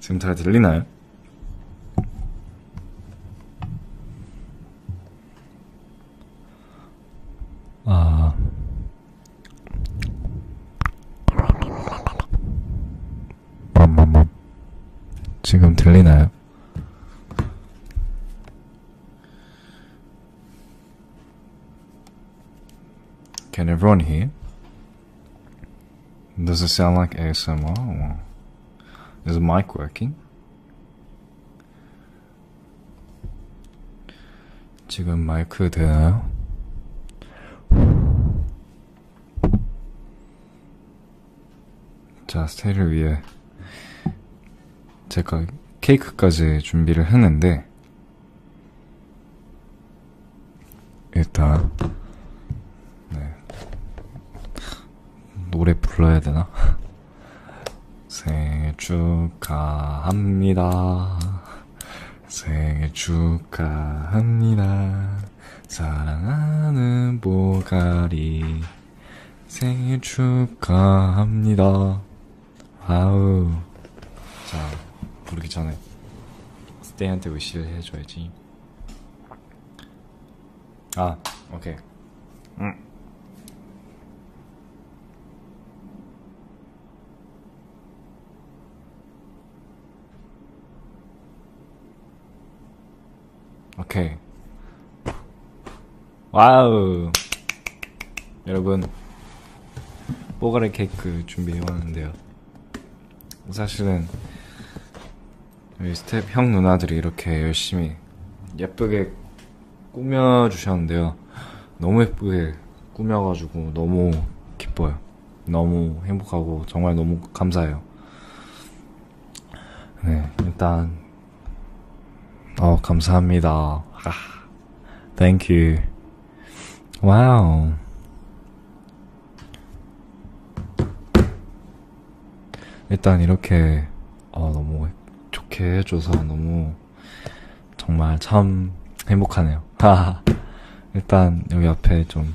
지금 잘 들리나요? 아. 지금 들리나요? Can everyone hear? Does it sound like ASMR? Is the mic working? 지금 마이크 되나요? 자 스테이를 위해 제가 케이크까지 준비를 했는데 일단 네. 노래 불러야 되나? 생일 축하합니다. 생일 축하합니다. 사랑하는 보가리. 생일 축하합니다. 아우. 자, 부르기 전에 스테이한테 위시를 해줘야지. 아, 오케이. 응. 음. 오케이. 와우. 여러분, 뽀가레 케이크 준비해왔는데요. 사실은, 우리 스텝 형 누나들이 이렇게 열심히 예쁘게 꾸며주셨는데요. 너무 예쁘게 꾸며가지고 너무 기뻐요. 너무 행복하고 정말 너무 감사해요. 네, 일단 어, 감사합니다. 아, thank you. 와우. 일단 이렇게 어, 너무 좋게 해줘서 너무 정말 참 행복하네요. 아, 일단 여기 앞에 좀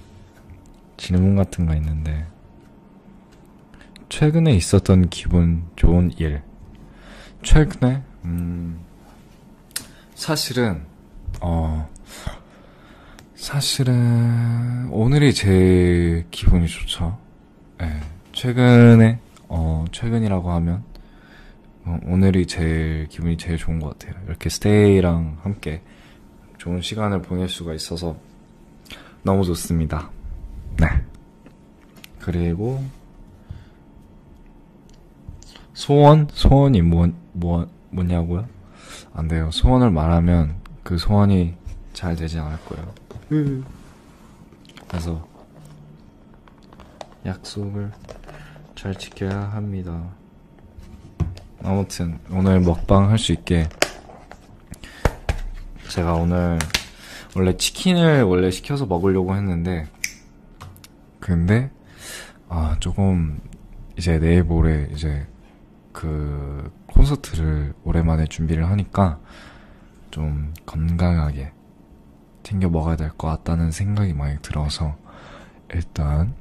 질문 같은 거 있는데 최근에 있었던 기분 좋은 일. 최근에, 음, 사실은, 어, 사실은, 오늘이 제 기분이 좋죠. 네, 최근에, 어, 최근이라고 하면, 어, 오늘이 제일 기분이 제일 좋은 것 같아요. 이렇게 스테이랑 함께 좋은 시간을 보낼 수가 있어서 너무 좋습니다. 네. 그리고 소원? 소원이 뭐, 뭐, 뭐냐고요? 안 돼요. 소원을 말하면 그 소원이 잘 되지 않을 거예요. 그래서 약속을 잘 지켜야 합니다. 아무튼 오늘 먹방 할 수 있게 제가 오늘 원래 치킨을 원래 시켜서 먹으려고 했는데 근데 아 조금 이제 내일 모레 이제 그 콘서트를 오랜만에 준비를 하니까 좀 건강하게 챙겨 먹어야 될 것 같다는 생각이 많이 들어서 일단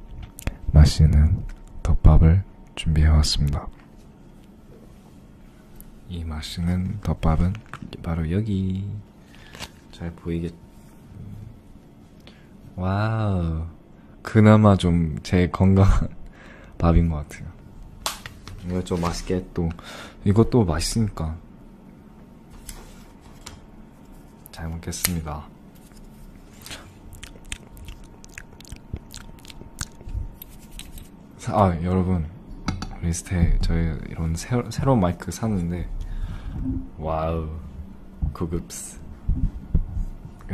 맛있는 덮밥을 준비해 왔습니다. 이 맛있는 덮밥은 바로 여기 잘 보이겠 와우 그나마 좀 제 건강한 밥인 것 같아요 이거 좀 맛있게 또 이것도 맛있으니까 잘 먹겠습니다 아 여러분 리스트에 저희 이런 새로, 새로운 마이크 샀는데 와우 고급스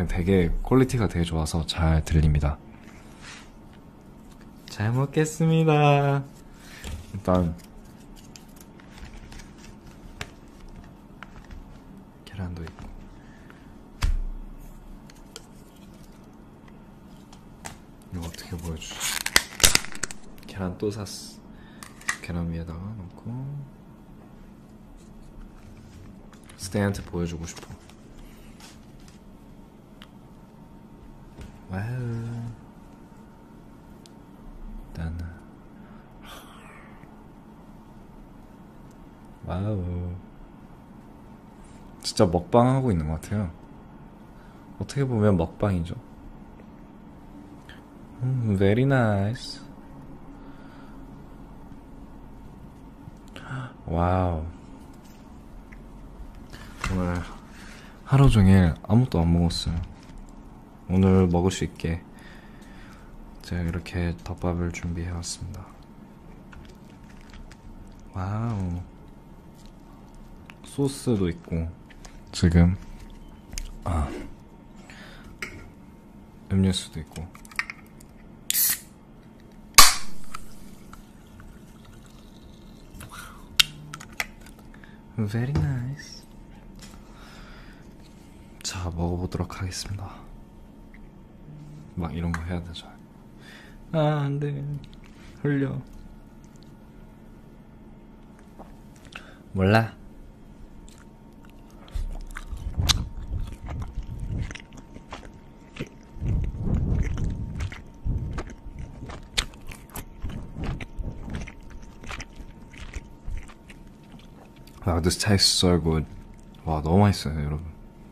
되게 퀄리티가 되게 좋아서 잘 들립니다 잘 먹겠습니다 일단 계란도 있고 이거 어떻게 보여주지? 계란 또 샀어. 계란 위에다가 넣고 스테이한테 보여주고 싶어. 와우. 일단 와우. 진짜 먹방하고 있는 것 같아요. 어떻게 보면 먹방이죠. 음, very nice. 와우. 오늘 하루 종일 아무것도 안 먹었어요. 오늘 먹을 수 있게 제가 이렇게 덮밥을 준비해 왔습니다. 와우. 소스도 있고 지금 아 음료수도 있고 Very nice 자 먹어보도록 하겠습니다 막 이런 거 해야 되죠 아, 안 돼. 흘려. 몰라. 아, this tastes so good. 와, 너무 맛있어요, 여러분.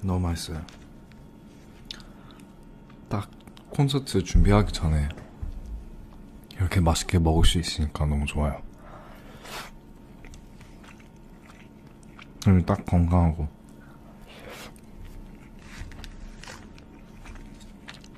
너무 맛있어요. 딱 콘서트 준비하기 전에 이렇게 맛있게 먹을 수 있으니까 너무 좋아요. 그리고 딱 건강하고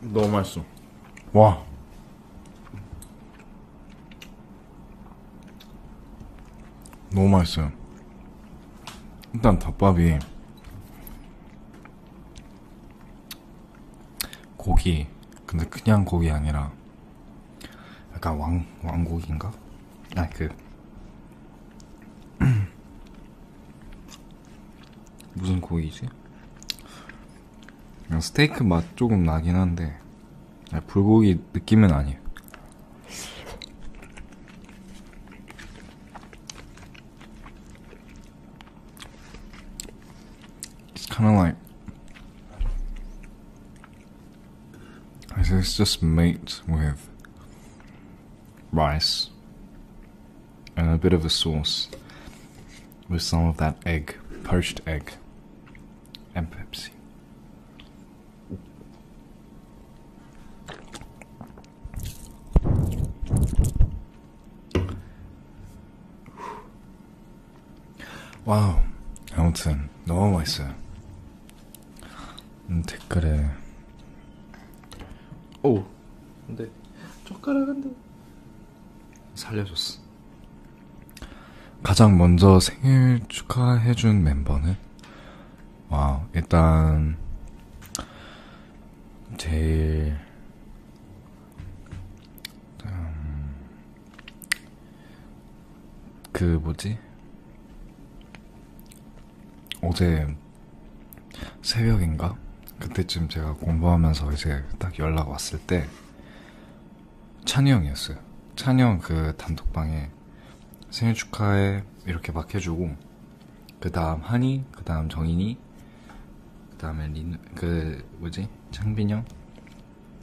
너무 맛있어. 와. 너무 맛있어요. 일단 덮밥이 고기 근데 그냥 고기 아니라 약간 왕 왕고기인가? 아그 무슨 고기지? 스테이크 맛 조금 나긴 한데 불고기 느낌은 아니에요. It's kind of like. It's just meat with rice and a bit of a sauce with some of that egg, poached egg, and Pepsi. 와우. 아무튼, 너무 맛있어요. 음, 댓글에. 오! 근데, 네. 젓가락인데. 살려줬어. 가장 먼저 생일 축하해준 멤버는? 와, 일단, 제일 음, 그 뭐지? 어제 새벽인가? 그때쯤 제가 공부하면서 이제 딱 연락 왔을 때 찬이 형이었어요. 찬이 형 그 단톡방에 생일 축하해 이렇게 막 해주고 그 다음 한이, 그 다음 정인이, 그 다음에 린, 그 뭐지 창빈 형.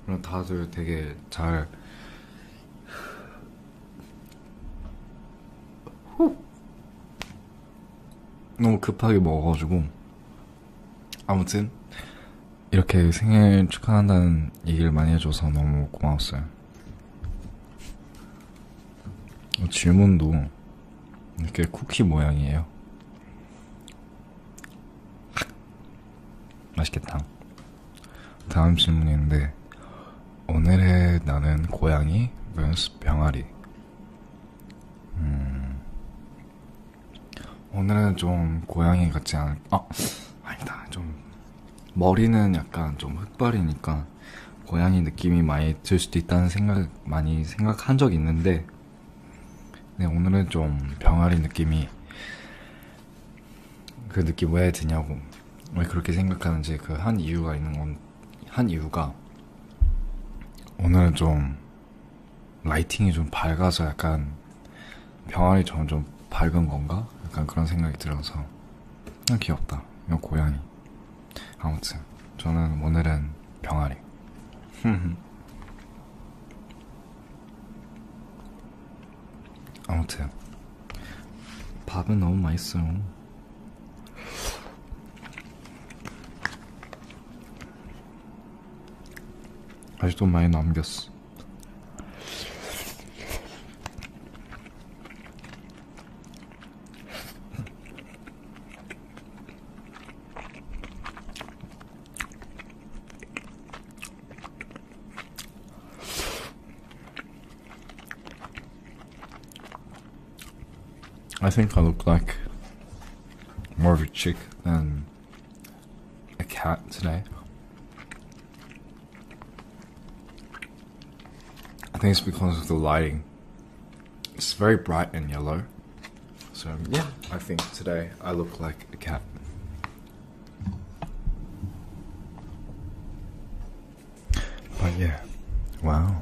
그럼 다들 되게 잘. 너무 급하게 먹어가지고 아무튼 이렇게 생일 축하한다는 얘기를 많이 해줘서 너무 고마웠어요. 어, 질문도 이렇게 쿠키 모양이에요. 맛있겠다. 다음 질문인데, 오늘의 나는 고양이 vs 병아리. 음, 오늘은 좀 고양이 같지 않을, 아, 아니다. 좀, 머리는 약간 좀 흑발이니까, 고양이 느낌이 많이 들 수도 있다는 생각 많이 생각한 적 있는데 네, 오늘은 좀 병아리 느낌이 그 느낌 왜 드냐고 왜 그렇게 생각하는지 그 한 이유가 있는 건 한 이유가 오늘은 좀 라이팅이 좀 밝아서 약간 병아리 점점 밝은 건가? 약간 그런 생각이 들어서 그냥 아, 귀엽다 이거 고양이 아무튼 저는 오늘은 병아리. 아무튼 밥은 너무 맛있어요. 아직도 많이 남겼어. I think I look like more of a chick than a cat today. I think it's because of the lighting. It's very bright and yellow. So, yeah, I think today I look like a cat. But yeah, wow.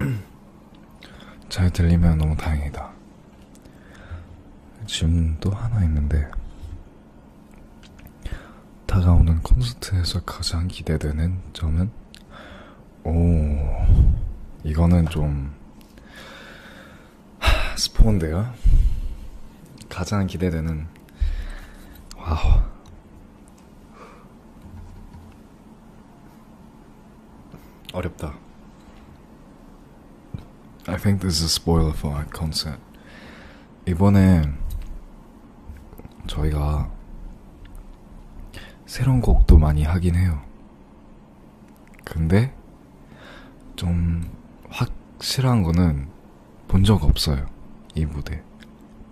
잘 들리면 너무 다행이다. 질문 또 하나 있는데, 다가오는 콘서트에서 가장 기대되는 점은? 오, 이거는 좀, 하, 스포인데요? 가장 기대되는, 와우. 어렵다. I think this is a spoiler for our concert. 이번에 저희가 새로운 곡도 많이 하긴 해요. 근데 좀 확실한 거는 본 적 없어요. 이 무대.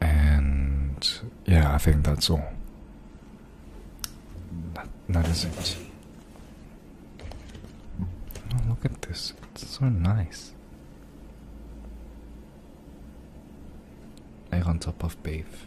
and yeah, I think that's all. That, that is it. Oh, look at this, it's so nice. Egg on top of beef.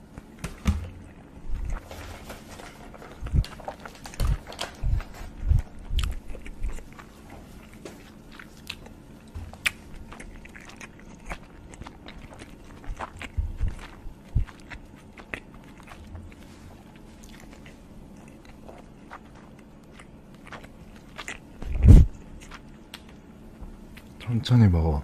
천천히 먹어.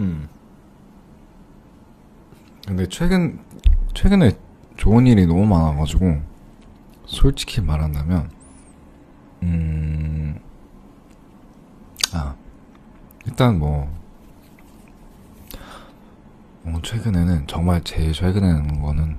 음. 근데 최근 최근에 좋은 일이 너무 많아가지고 솔직히 말한다면 음. 아 일단 뭐 어, 최근에는 정말 제일 최근에는 거는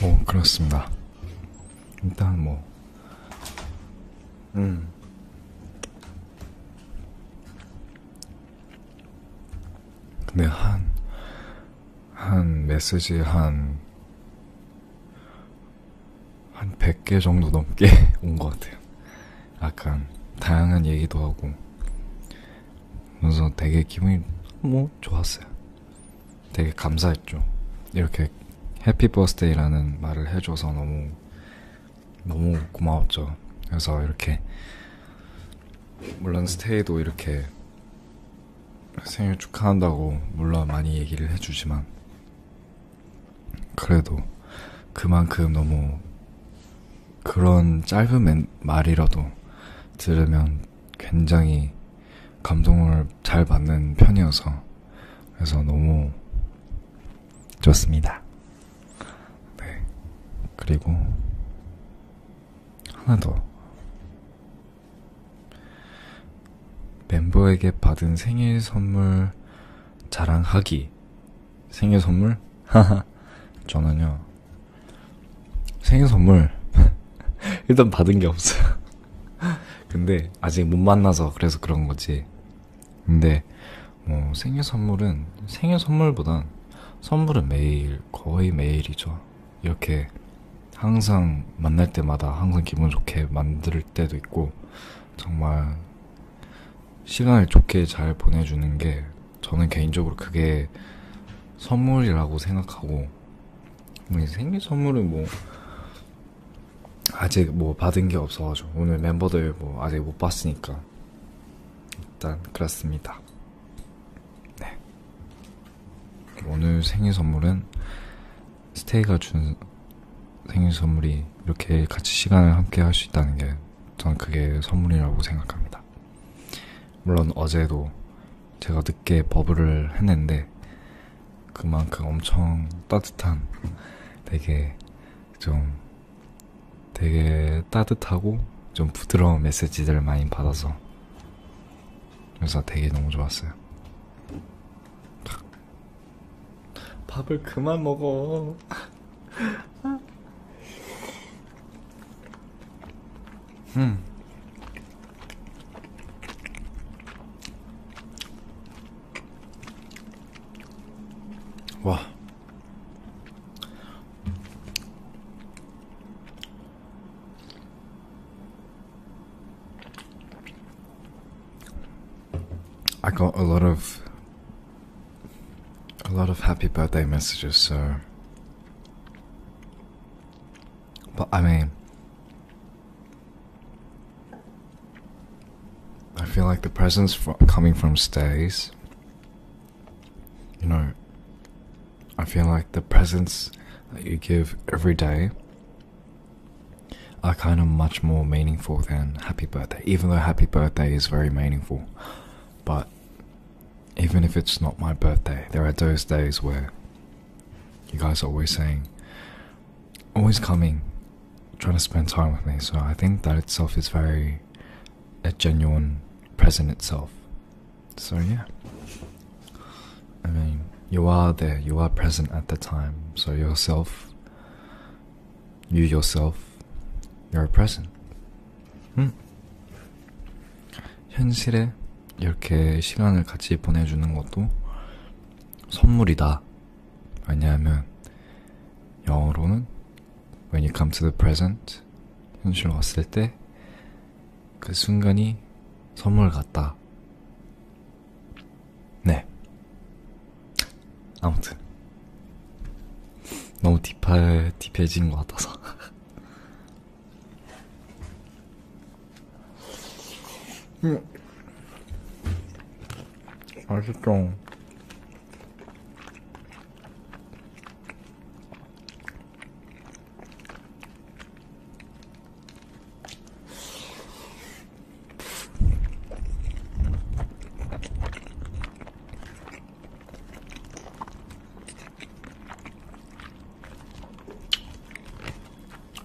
뭐 그렇습니다. 일단 뭐 음. 근데 한, 한 메시지 한, 한 100개 정도 넘게 온 것 같아요. 약간, 다양한 얘기도 하고. 그래서 되게 기분이, 뭐, 좋았어요. 되게 감사했죠. 이렇게 해피 버스데이라는 말을 해줘서 너무 너무 고마웠죠. 그래서 이렇게 물론 스테이도 이렇게 생일 축하한다고 물론 많이 얘기를 해주지만 그래도 그만큼 너무 그런 짧은 말이라도 들으면 굉장히 감동을 잘 받는 편이어서 그래서 너무 좋습니다. 네. 그리고 하나 더 멤버에게 받은 생일 선물 자랑하기 생일 선물? 저는요 생일 선물 일단 받은 게 없어요. 근데 아직 못 만나서 그래서 그런 거지. 근데 뭐 생일 선물은 생일 선물보단 선물은 매일 거의 매일이죠. 이렇게 항상 만날 때마다 항상 기분 좋게 만들 때도 있고 정말 시간을 좋게 잘 보내주는 게 저는 개인적으로 그게 선물이라고 생각하고 뭐 생일 선물은 뭐 아직 뭐 받은 게 없어가지고 오늘 멤버들 뭐 아직 못 봤으니까 일단 그렇습니다. 네. 오늘 생일 선물은 스테이가 준 생일 선물이 이렇게 같이 시간을 함께 할 수 있다는 게 저는 그게 선물이라고 생각합니다. 물론 어제도 제가 늦게 버블을 했는데 그만큼 엄청 따뜻한 되게 좀 되게 따뜻하고 좀 부드러운 메시지들을 많이 받아서 그래서 되게 너무 좋았어요. 밥을 그만 먹어. Hmm. Wow. I got a lot of a lot of happy birthday messages, so but I mean, I feel like the presents coming from stays, you know, I feel like the presents that you give every day are kind of much more meaningful than happy birthday, even though happy birthday is very meaningful. But even if it's not my birthday, there are those days where you guys are always saying, always coming, trying to spend time with me. So I think that itself is very a genuine present itself. So yeah, I mean, you are there, you are present at the time. So yourself, you yourself, you're a present. 음. 현실에 이렇게 시간을 같이 보내주는 것도 선물이다. 왜냐하면 영어로는 When you come to the present 현실로 왔을 때 그 순간이 선물 같다. 네. 아무튼 너무 딥해, 딥해진 것 같아서 음. 맛있죠.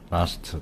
라스트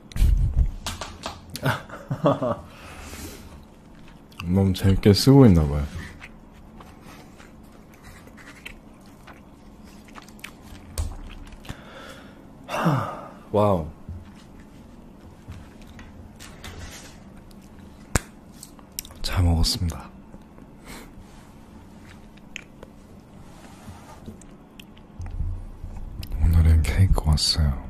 너무 재밌게 쓰고 있나봐요. 와우. 잘 먹었습니다. 오늘은 케이크 왔어요.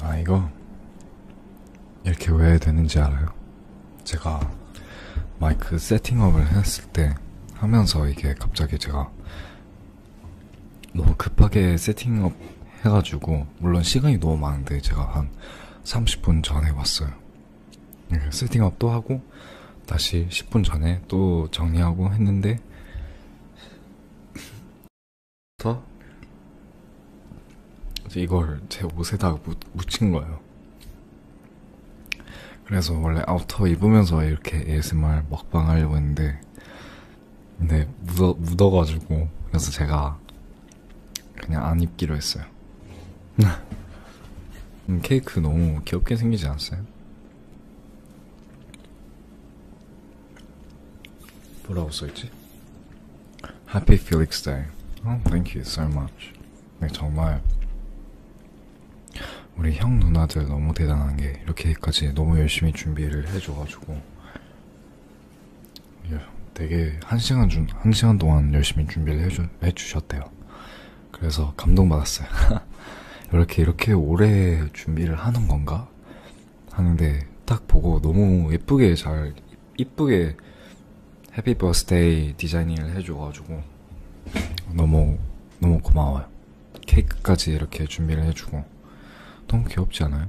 아, 이거 이렇게 왜 되는지 알아요? 제가 마이크 세팅업을 했을 때 하면서 이게 갑자기 제가 너무 급하게 세팅업 해가지고 왔고 물론 시간이 너무 많은데 제가 한 30분 전에 왔어요. 네, 세팅업도 하고 다시 10분 전에 또 정리하고 했는데 더 이걸 제 옷에다가 묻힌 거예요. 그래서 원래 아우터 입으면서 이렇게 ASMR 먹방 하려고 했는데 근데 묻어, 묻어가지고 그래서 제가 그냥 안 입기로 했어요. 음, 케이크 너무 귀엽게 생기지 않았어요? 뭐라고 써있지? Happy Felix Day. Oh, thank you so much. 네, 정말 우리 형 누나들 너무 대단한 게 이렇게까지 너무 열심히 준비를 해줘가지고 예, 되게 한 시간 중, 한 시간 동안 열심히 준비를 해주, 해주셨대요. 그래서 감동받았어요. 이렇게, 이렇게 오래 준비를 하는 건가? 하는데 딱 보고 너무 예쁘게 잘, 이쁘게 해피 버스데이 디자이닝을 해줘가지고 너무, 너무 고마워요. 케이크까지 이렇게 준비를 해주고 너무 귀엽지 않아요?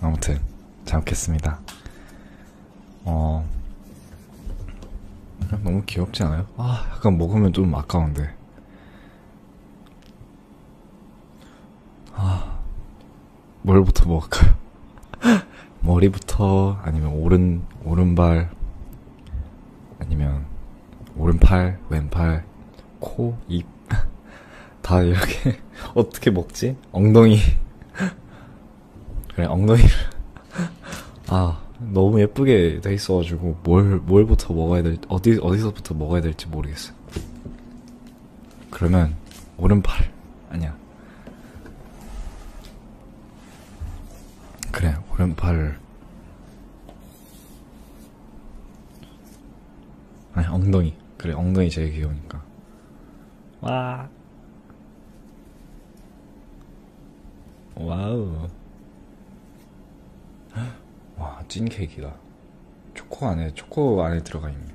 아무튼 잡겠습니다. 어 너무 귀엽지 않아요? 아 약간 먹으면 좀 아까운데. 아 뭘부터 먹을까요? 머리부터 아니면 오른 오른발 아니면 오른팔 왼팔 코입 다 이렇게 어떻게 먹지? 엉덩이 그래 엉덩이를 아 너무 예쁘게 돼 있어가지고 뭘 뭘부터 먹어야 될 어디 어디서부터 먹어야 될지 모르겠어요. 그러면 오른팔 아니야 그래 오른팔 아니 엉덩이 그래 엉덩이 제일 귀여우니까 와. 와우. 와, 찐 케이크다. 초코 안에, 초코 안에 들어가 있네.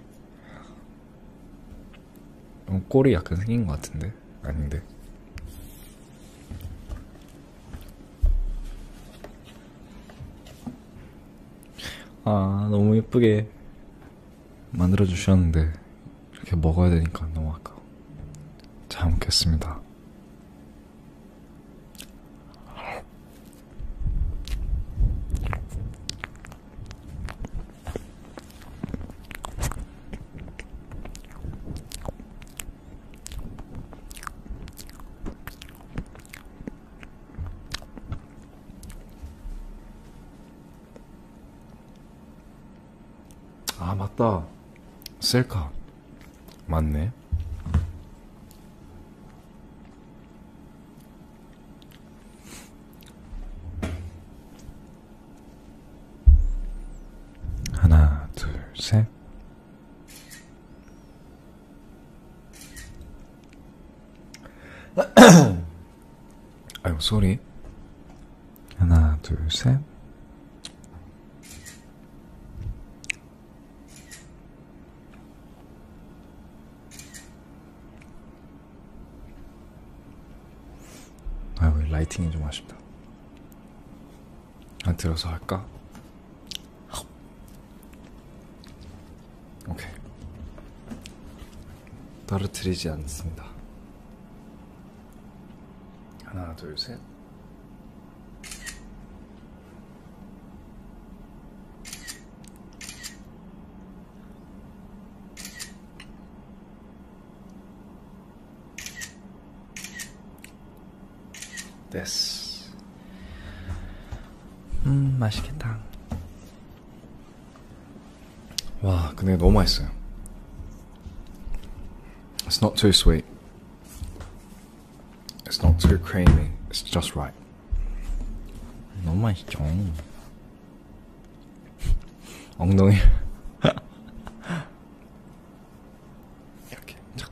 꼬리 어, 약간 생긴 것 같은데? 아닌데. 아, 너무 예쁘게 만들어 주셨는데 이렇게 먹어야 되니까 너무 아까워. 잘 먹겠습니다. 아 맞다 셀카 맞네 하나 둘셋 아유 소리 하나 둘셋 아유 라이팅이 좀 아쉽다 안 아, 들어서 할까? 오케이. 떨어뜨리지 않습니다. 하나, 둘, 셋. 됐어. 음, 맛있겠다. Wow, 와 근데 너무 맛있어요. It's not too sweet. It's not too creamy. It's just right. 너무 맛있죠. 엉덩이 이렇게 착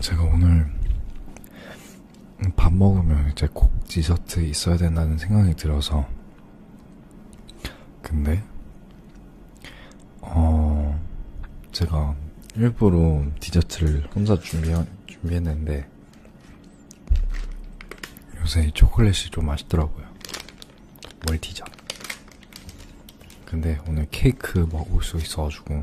제가 오늘 밥 먹으면 이제 꼭 디저트 있어야 된다는 생각이 들어서 근데 어 제가 일부러 디저트를 혼자 준비 준비했는데 요새 이 초콜릿이 좀 맛있더라고요 멀티자 근데 오늘 케이크 먹을 수 있어가지고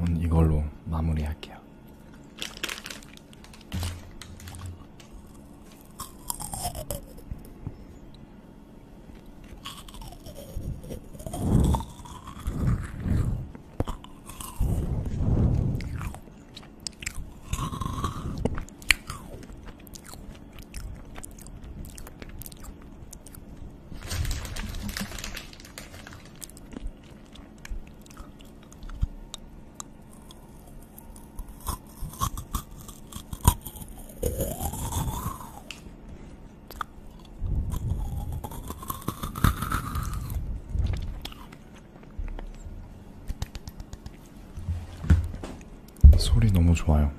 오늘 음, 이걸로 마무리할게요. 소리 너무 좋아요.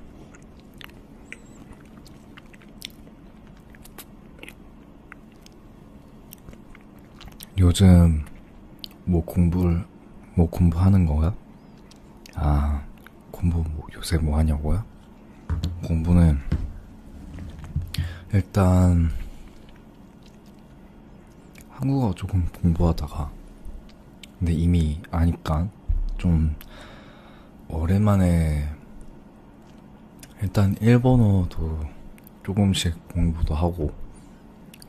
요즘 뭐 공부를 뭐 공부하는 거야? 아 공부 뭐 요새 뭐 하냐고요? 공부는 일단 한국어 조금 공부하다가 근데 이미 아니까 좀 오랜만에 일단 일본어도 조금씩 공부도 하고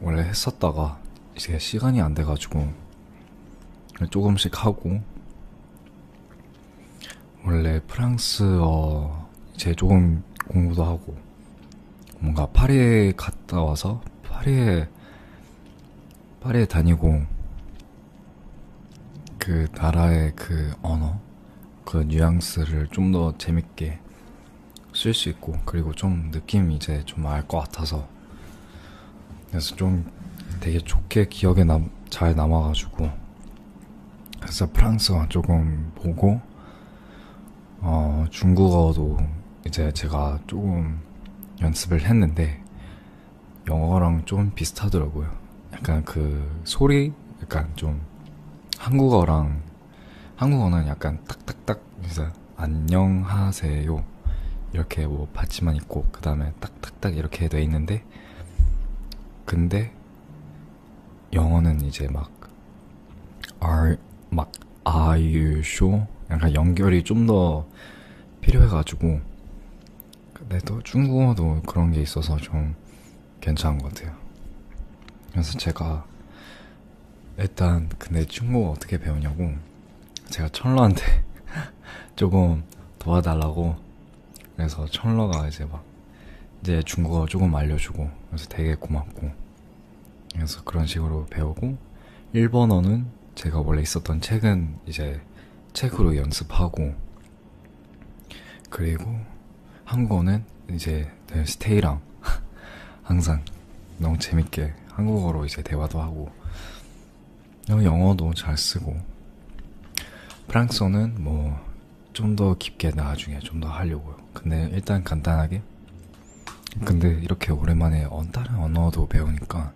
원래 했었다가 이제 시간이 안 돼가지고 조금씩 하고 원래 프랑스어 이제 조금 공부도 하고 뭔가 파리에 갔다 와서 파리에 파리에 다니고 그 나라의 그 언어, 그 뉘앙스를 좀 더 재밌게 쓸 수 있고, 그리고 좀 느낌 이제 좀 알 것 같아서. 그래서 좀 되게 좋게 기억에 남, 잘 남아가지고. 그래서 프랑스어 조금 보고, 어, 중국어도 이제 제가 조금 연습을 했는데, 영어랑 좀 비슷하더라고요. 약간 그 소리, 약간 좀 한국어랑 한국어는 약간 딱딱딱 그래서 안녕하세요 이렇게 뭐 받지만 있고 그 다음에 딱딱딱 이렇게 돼 있는데 근데 영어는 이제 막 are 막 are you sure 약간 연결이 좀 더 필요해가지고 근데 또 중국어도 그런 게 있어서 좀 괜찮은 것 같아요. 그래서 제가 일단 근데 중국어 어떻게 배우냐고 제가 철러한테 조금 도와달라고 그래서 철러가 이제 막 이제 중국어 조금 알려주고 그래서 되게 고맙고 그래서 그런 식으로 배우고 일본어는 제가 원래 있었던 책은 이제 책으로 연습하고 그리고 한국어는 이제 스테이랑 항상 너무 재밌게 한국어로 이제 대화도 하고 어, 영어도 잘 쓰고 프랑스어는 뭐 좀 더 깊게 나중에 좀 더 하려고요. 근데 일단 간단하게 근데 이렇게 오랜만에 다른 언어도 배우니까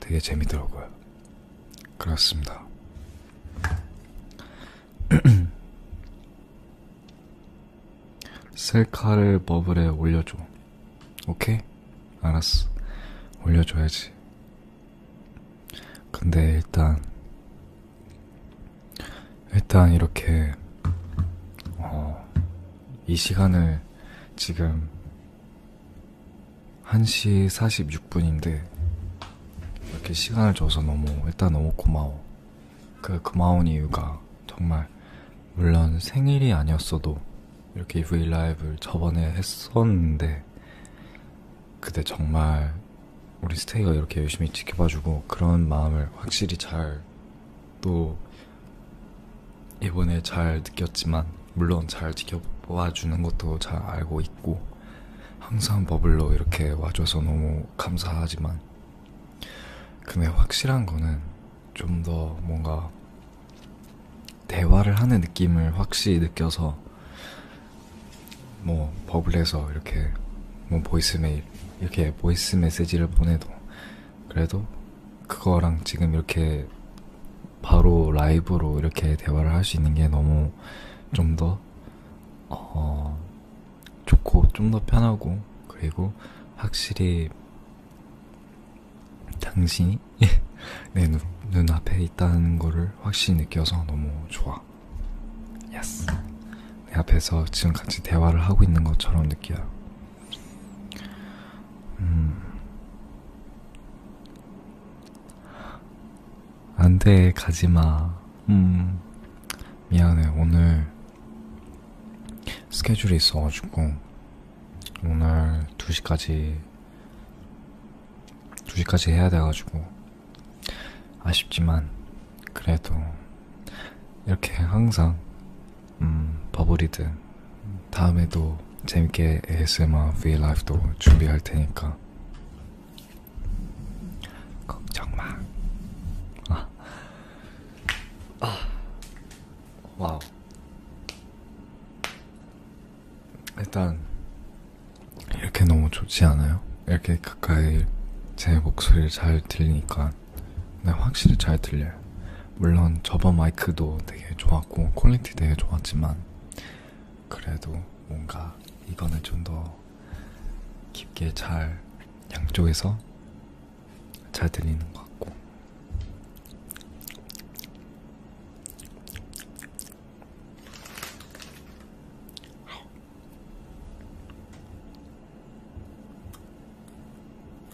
되게 재미더라고요. 그렇습니다. 셀카를 버블에 올려줘. 오케이? 알았어. 올려줘야지. 근데 일단, 일단 이렇게, 어, 이 시간을 지금 1시 46분인데 이렇게 시간을 줘서 너무 일단 너무 고마워. 그 고마운 이유가 정말 물론 생일이 아니었어도 이렇게 브이라이브를 저번에 했었는데 그때 정말 우리 스테이가 이렇게 열심히 지켜봐주고 그런 마음을 확실히 잘또 이번에 잘 느꼈지만 물론 잘 지켜봐주는 것도 잘 알고 있고 항상 버블로 이렇게 와줘서 너무 감사하지만 근데 확실한 거는 좀 더 뭔가 대화를 하는 느낌을 확실히 느껴서 뭐 버블에서 이렇게 뭐 보이스메일 이렇게 보이스 메시지를 보내도 그래도 그거랑 지금 이렇게 바로 라이브로 이렇게 대화를 할 수 있는 게 너무 좀 더, 어, 좋고, 좀 더 편하고, 그리고 확실히 당신이 내 눈, 눈앞에 있다는 거를 확실히 느껴서 너무 좋아. 예스. 내 앞에서 지금 같이 대화를 하고 있는 것처럼 느껴요. 음. 안 돼, 가지 마. 음. 미안해, 오늘 스케줄이 있어가지고, 오늘 2시까지, 2시까지 해야 돼가지고, 아쉽지만, 그래도, 이렇게 항상 음, 버블이드 다음에도 재밌게 ASMR V라이브도 준비할 테니까 걱정 마. 아, 아, 와우. 일단 이렇게 너무 좋지 않아요? 이렇게 가까이 제 목소리를 잘 들리니까 네, 확실히 잘 들려요. 물론 저번 마이크도 되게 좋았고 퀄리티 되게 좋았지만 그래도 뭔가 이거는 좀 더 깊게 잘 양쪽에서 잘 들리는 것 같고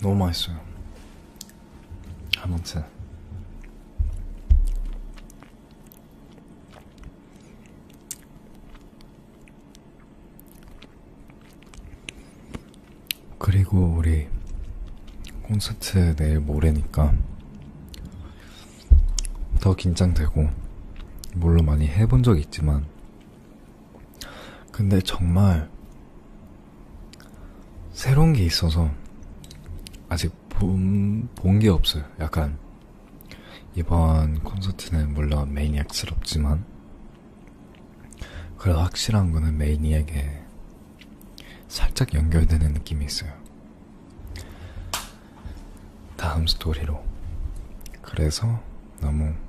너무 맛있어요. 아무튼 그리고 우리 콘서트 내일 모레니까 더 긴장되고 물론 많이 해본 적 있지만 근데 정말 새로운 게 있어서 아직 본 게 없어요. 약간 이번 콘서트는 물론 매니악스럽지만 그래도 확실한 거는 메인이에게 살짝 연결되는 느낌이 있어요. 다음 스토리로. 그래서 너무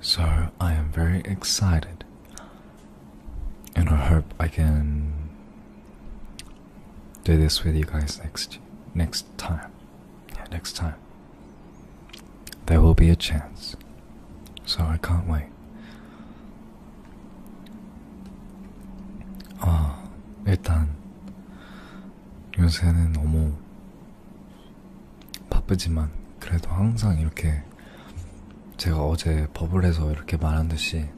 So I am very excited and I hope I can do this with you guys next next time. next time. There will be a chance. So I can't wait. 어, ah, 일단 요새는 너무 바쁘지만 그래도 항상 이렇게 제가 어제 버블에서 이렇게 말한 듯이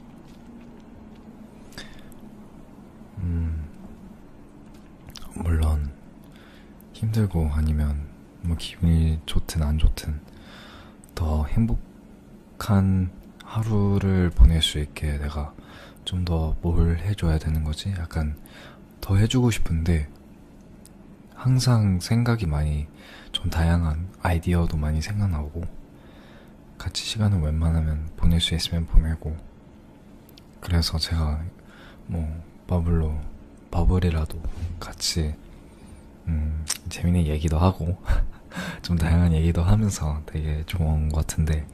음 물론 힘들고 아니면 뭐 기분이 좋든 안 좋든 더 행복한 하루를 보낼 수 있게 내가 좀 더 뭘 해줘야 되는 거지 약간 더 해주고 싶은데 항상 생각이 많이 좀 다양한 아이디어도 많이 생각나고 같이 시간을 웬만하면 보낼 수 있으면 보내고 그래서 제가 뭐 버블로 버블이라도 같이 음, 재밌는 얘기도 하고 좀 다양한 얘기도 하면서 되게 좋은 것 같은데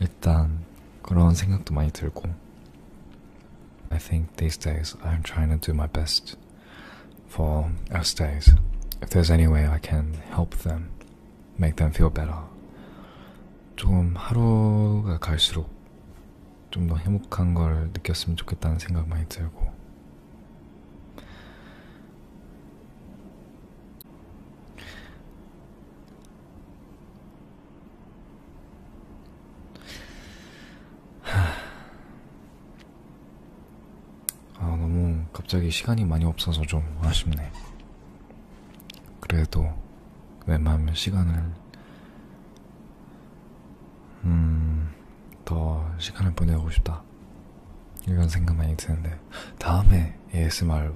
일단 그런 생각도 많이 들고 I think these days I'm trying to do my best for our stays. If there's any way I can help them, make them feel better. 좀 하루가 갈수록 좀더 행복한 걸 느꼈으면 좋겠다는 생각 많이 아, 너무 갑자기 시간이 많이 없어서 좀 아쉽네. 그래도 웬만하면 시간을, 음, 더 시간을 보내고 싶다. 이런 생각만이 드는데, 다음에 ASMR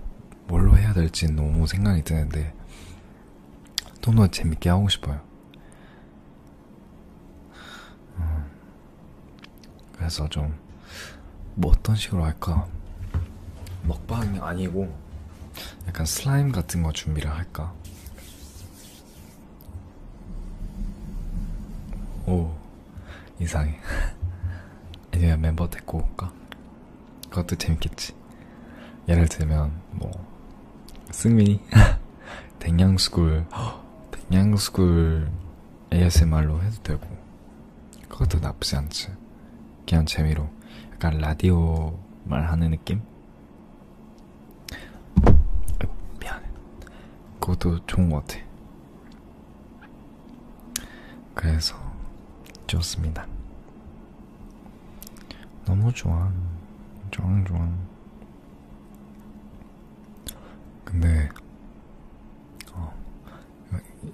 뭘로 해야 될지 너무 생각이 드는데, 좀더 재밌게 하고 싶어요. 음, 그래서 좀, 뭐 어떤 식으로 할까? 먹방이 아니고, 약간 슬라임 같은 거 준비를 할까? 오, 이상해. 아니면 멤버 데리고 올까? 그것도 재밌겠지. 예를 들면 뭐 승민이 댕양수굴 댕양수굴 ASMR로 해도 되고 그것도 나쁘지 않지. 그냥 재미로 약간 라디오 말하는 느낌? 미안해. 그것도 좋은 것 같아. 그래서 좋습니다. 너무 좋아. 좋아, 좋아. 근데, 어,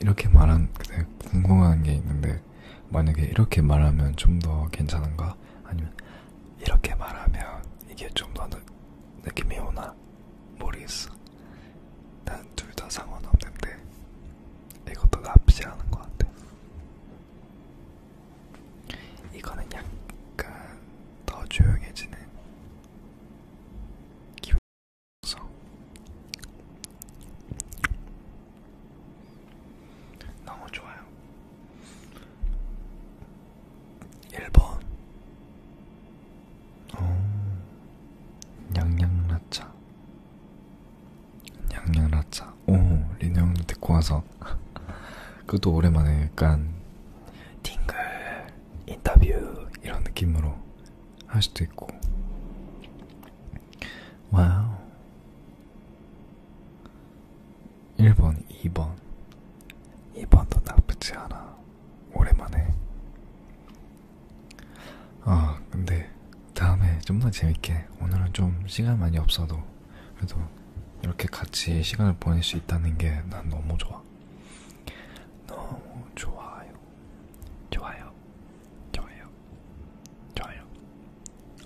이렇게 말한, 근데 궁금한 게 있는데, 만약에 이렇게 말하면 좀 더 괜찮은가? 아니면, 이렇게 말하면 이게 좀 더 느낌이 오나? 모르겠어. 난 둘 다 상관없는데. 이것도 나쁘지 않은 것 같아. 이거는 약간 더 조용해지는 기분. 너무 좋아요. 일본. 오, 양양라차. 양양라차 오 리노 형님 듣고 와서 그것도 오랜만에 약간 팅글 인터뷰 이런 느낌으로 할 수도 있고 와우 1번 2번 2번도 나쁘지 않아 오랜만에 아 어, 근데 다음에 좀 더 재밌게 오늘은 좀 시간 많이 없어도 그래도 이렇게 같이 시간을 보낼 수 있다는 게 난 너무 좋아 너무 좋아요 좋아요 좋아요 좋아요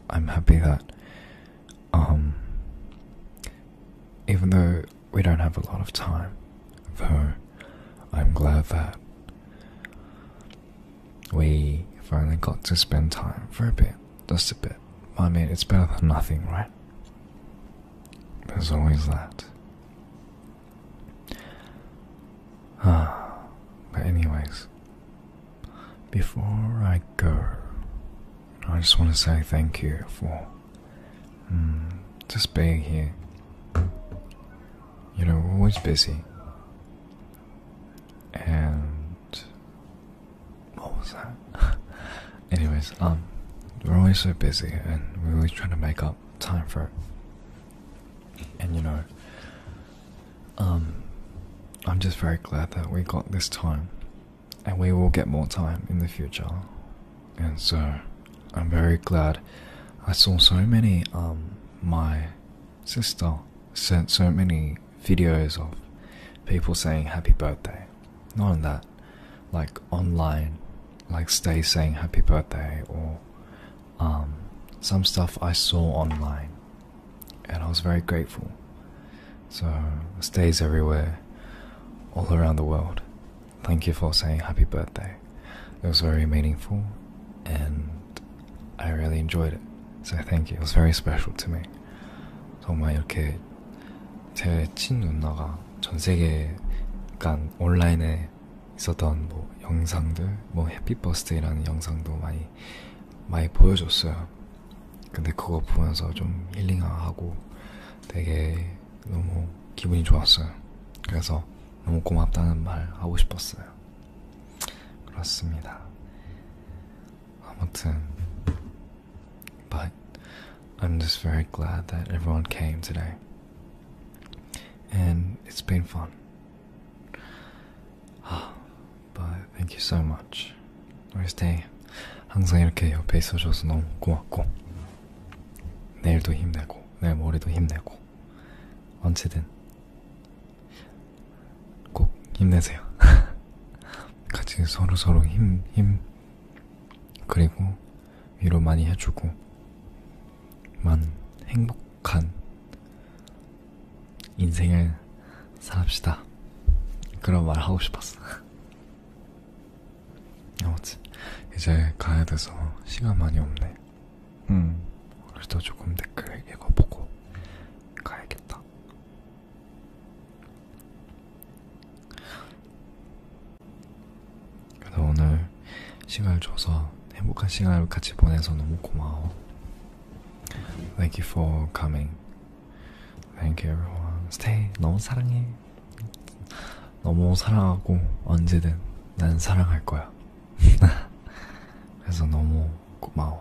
I'm happy that um even though we don't have a lot of time though I'm glad that We finally got to spend time for a bit, just a bit. I mean, it's better than nothing, right? There's always that. Ah, but, anyways, before I go, I just want to say thank you for mm, just being here. You know, we're always busy and what was that? Anyways, um, we're always so busy, and we're always trying to make up time for it. And you know, um, I'm just very glad that we got this time, and we will get more time in the future. And so, I'm very glad I saw so many um my sister sent so many videos of people saying happy birthday. Not on that, like online, like stay saying happy birthday or um, some stuff I saw online, and I was very grateful. So stays everywhere, all around the world. Thank you for saying happy birthday. It was very meaningful, and I really enjoyed it. So thank you. It was very special to me. 정말 이렇게 제 친 누나가 전 세계 약간 온라인에 있었던 뭐 영상들, 뭐 해피 버스데이라는 영상도 많이 많이 보여줬어요. 근데 그거 보면서 좀 힐링하고 되게 너무 기분이 좋았어요. 그래서 너무 고맙다는 말 하고 싶었어요. but I'm just very glad that everyone came today, and it's been fun. Ah, but thank you so much. Always day. 항상 이렇게 옆에 있어줘서 너무 고맙고, 내일도 힘내고, 내일 모레도 힘내고, 언제든 꼭 힘내세요. 같이 서로서로 서로 힘, 힘, 그리고 위로 많이 해주고, 만 행복한 인생을 살합시다. 그런 말 하고 싶었어. 아무튼, 이제 가야 돼서 시간 많이 없네. 응. 음, 그래서 조금 댓글 읽어보고 가야겠다. 그래서 오늘 시간을 줘서 행복한 시간을 같이 보내서 너무 고마워. Thank you for coming. Thank you everyone. Stay. 너무 사랑해. 너무 사랑하고 언제든 난 사랑할 거야. as a normal Kumao.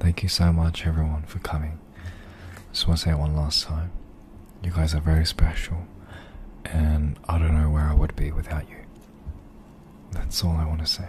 Thank you so much, everyone, for coming. Just want to say one last time you guys are very special, and I don't know where I would be without you. That's all I want to say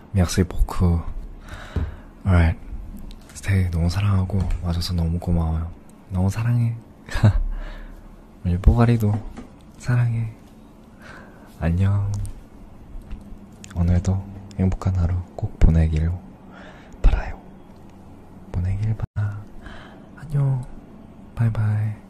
Merci beaucoup. Alright. 스테이 너무 사랑하고 와줘서 너무 고마워요. 너무 사랑해. 우리 뽀가리도 사랑해. 안녕. 오늘도 행복한 하루 꼭 보내기로 바라요. 보내길 바라. 안녕. 바이바이.